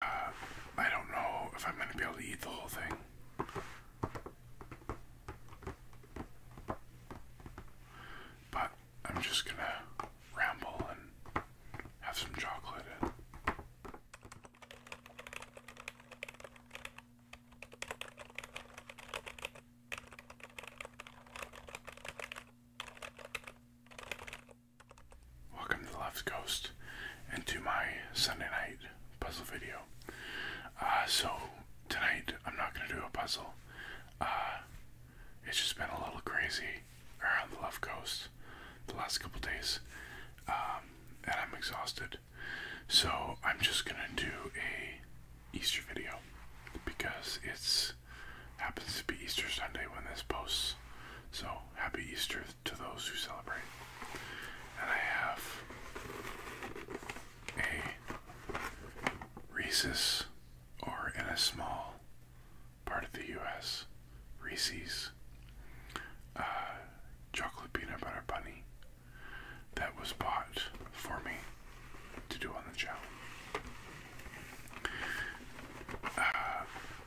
Uh, I don't know if I'm going to be able to eat the whole thing. But I'm just going to ramble and have some chocolate. Welcome to the Left Coast and to my Sunday night puzzle video. Uh, so, tonight I'm not going to do a puzzle. Uh, it's just been a little crazy around the Left Coast the last couple days, um, and I'm exhausted. So, I'm just going to do a Easter video because it's happens to be Easter Sunday when this posts. So, happy Easter to those who celebrate. And I have a Reese's, or in a small part of the U.S., Reese's uh, chocolate peanut butter bunny that was bought for me to do on the channel.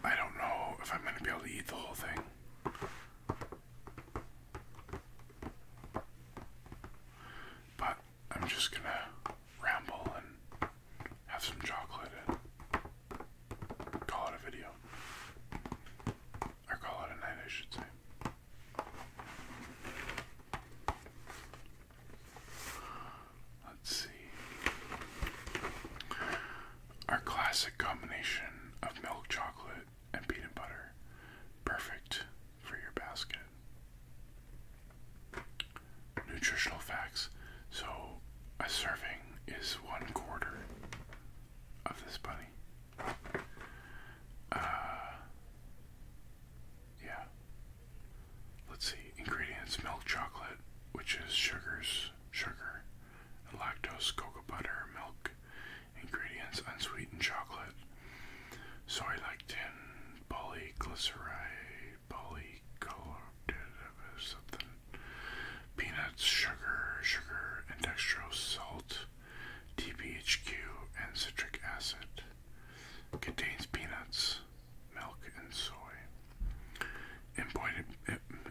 I don't know if I'm going to be able to eat the whole thing. But I'm just going to ramble and have some chocolate and call it a video. Or call it a night, I should say. Let's see. Our classic combination of milk chocolate and peanut butter. Perfect for your basket. Nutritional facts. So, a serving is one quarter of this bunny. Uh, yeah. Let's see. Ingredients milk chocolate, which is sugars, sugar, lactose, cocoa butter, milk, ingredients, unsweetened chocolate, soy lectin, polyglyceride, polycolor, something, peanuts, sugar, sugar, and dextrose, salt, TBHQ, and citric acid. Contains peanuts, milk, and soy. Imported,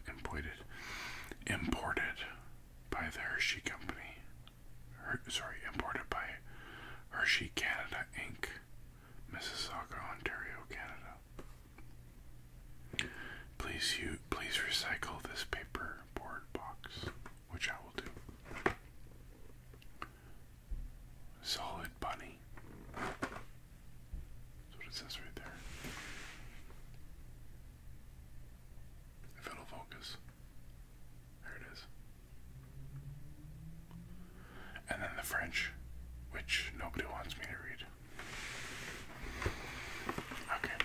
imported, imported by the Hershey Company. sorry, imported by Hershey Canada Inc., Mississauga, Ontario, Canada. Please, you please recycle this paper board box, which I will do. Solid bunny money. That's what it says right there. If it focus. There it is. And then the French, which nobody wants me to read. Okay.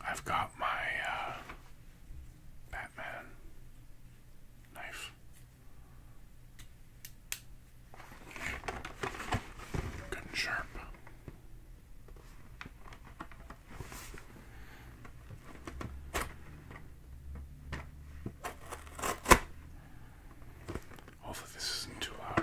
I've got my uh, Batman knife. Good and sharp. Hopefully, this isn't too loud.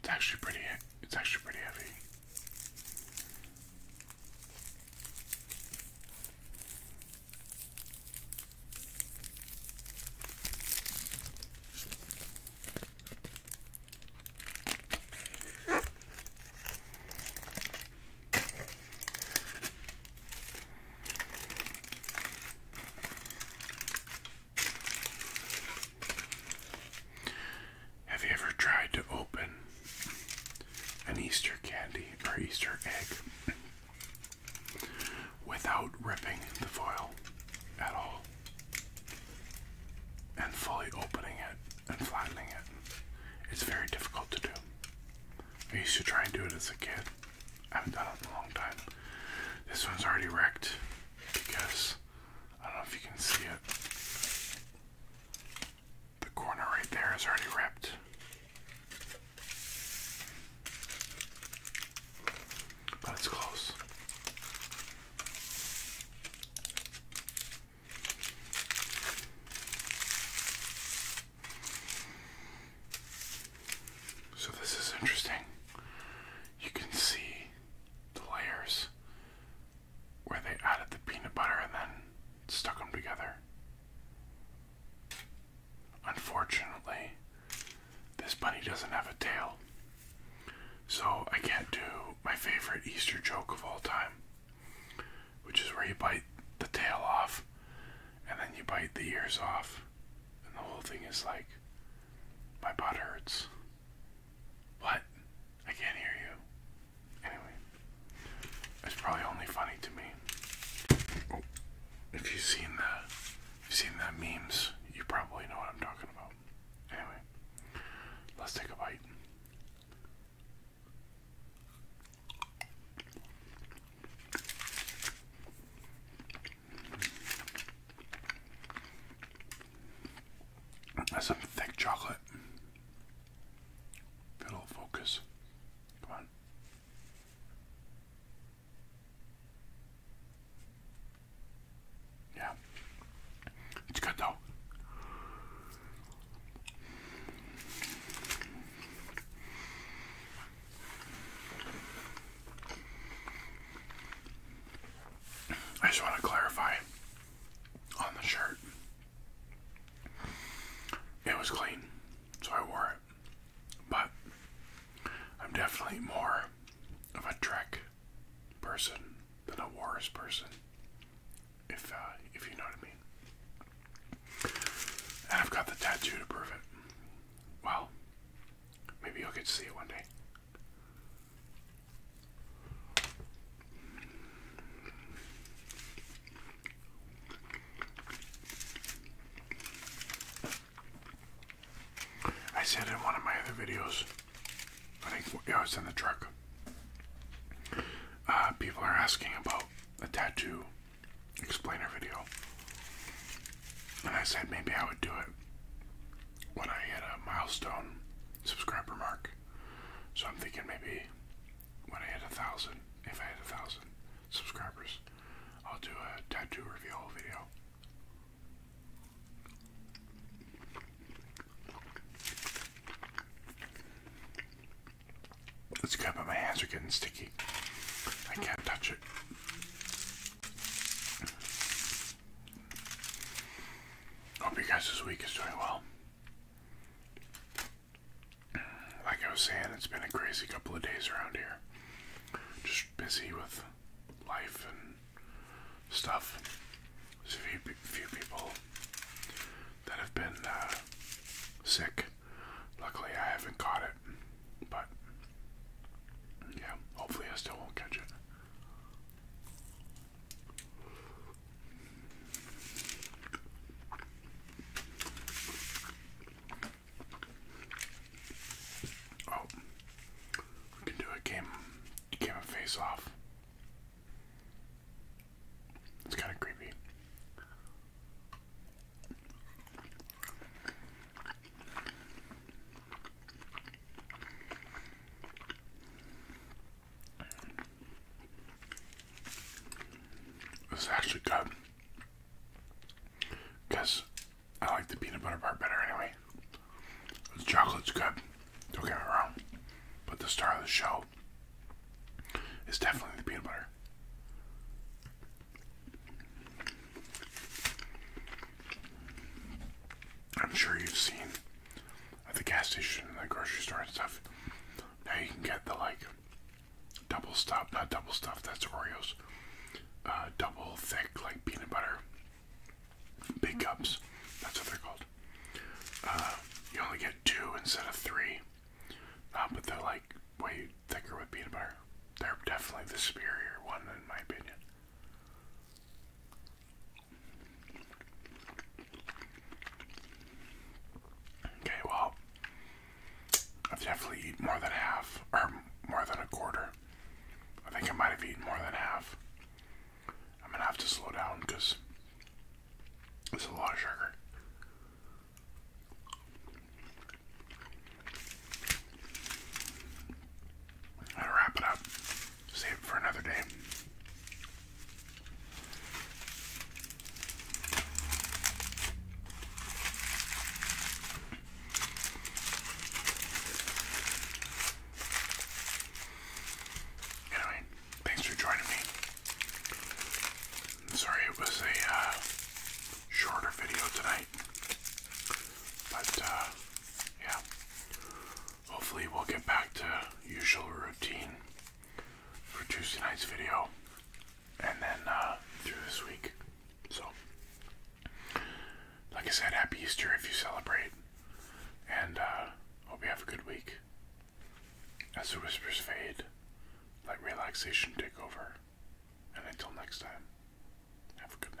It's actually pretty it's actually pretty heavy. Have you ever tried to open an Easter candy or Easter egg without ripping the foil at all? and fully opening it and flattening it. It's very difficult to do. I used to try and do it as a kid. I haven't done it in a long time. This one's already wrecked because I don't know if you can see it. The corner right there is already ripped. But it's close. So, this is interesting. You can see the layers where they added the peanut butter and then stuck them together. Unfortunately, this bunny doesn't have a tail. So I can't do my favorite Easter joke of all time, which is where you bite the tail off and then you bite the ears off, and the whole thing is like, my butt hurts. What? I can't hear you. Anyway, it's probably only funny to me. Oh, if you've seen that, seen the memes, you probably know what I'm talking about anyway, let's take a bite. That's some thick chocolate. Good old focus. Come on. Yeah. It's good though. I just want to clarify on the shirt. It was clean, so I wore it. But I'm definitely more of a Trek person than a Warriors person, if uh, if you know what I mean. And I've got the tattoo to prove it. Well, maybe you'll get to see it one day. I said in one of my other videos, I think yeah, I was in the truck. Uh, people are asking about a tattoo explainer video, and I said maybe I would do it when I hit a milestone subscriber mark. So I'm thinking maybe when I hit a thousand, if I hit a thousand subscribers, I'll do a tattoo reveal video. It's good, but my hands are getting sticky. I can't touch it. Hope you guys this week is doing well. Like I was saying, it's been a crazy couple of days around here. Just busy with life and stuff. There's a few, few people that have been uh, sick. Luckily, I haven't caught it, but yeah, hopefully, I still won't catch it. Oh, we can do a game, game of face off. It's kind of creepy. This is actually good. Because I like the peanut butter bar better anyway. The chocolate's good, don't get me wrong. But the star of the show is definitely the peanut butter. I'm sure you've seen at the gas station and the grocery store and stuff. Now you can get the like double stop, not double stuff, that's Oreos. Uh, double thick, like peanut butter. Big cups, that's what they're called. Uh, you only get two instead of three, uh, but they're like way thicker with peanut butter. They're definitely the superior one, in my opinion. Okay, well, I've definitely eaten more than half, or more than a quarter. I think I might have eaten more than half. I'm gonna have to slow down because it's a lot of sugar. i to wrap it up, save it for another day. Anyway, thanks for joining me. sorry it was a uh, shorter video tonight, but uh, yeah, hopefully we'll get back to usual routine for Tuesday night's video and then uh, through this week. So, like I said, happy Easter if you celebrate, and uh, hope you have a good week. As the whispers fade, let relaxation take over, and until next time, have a good night.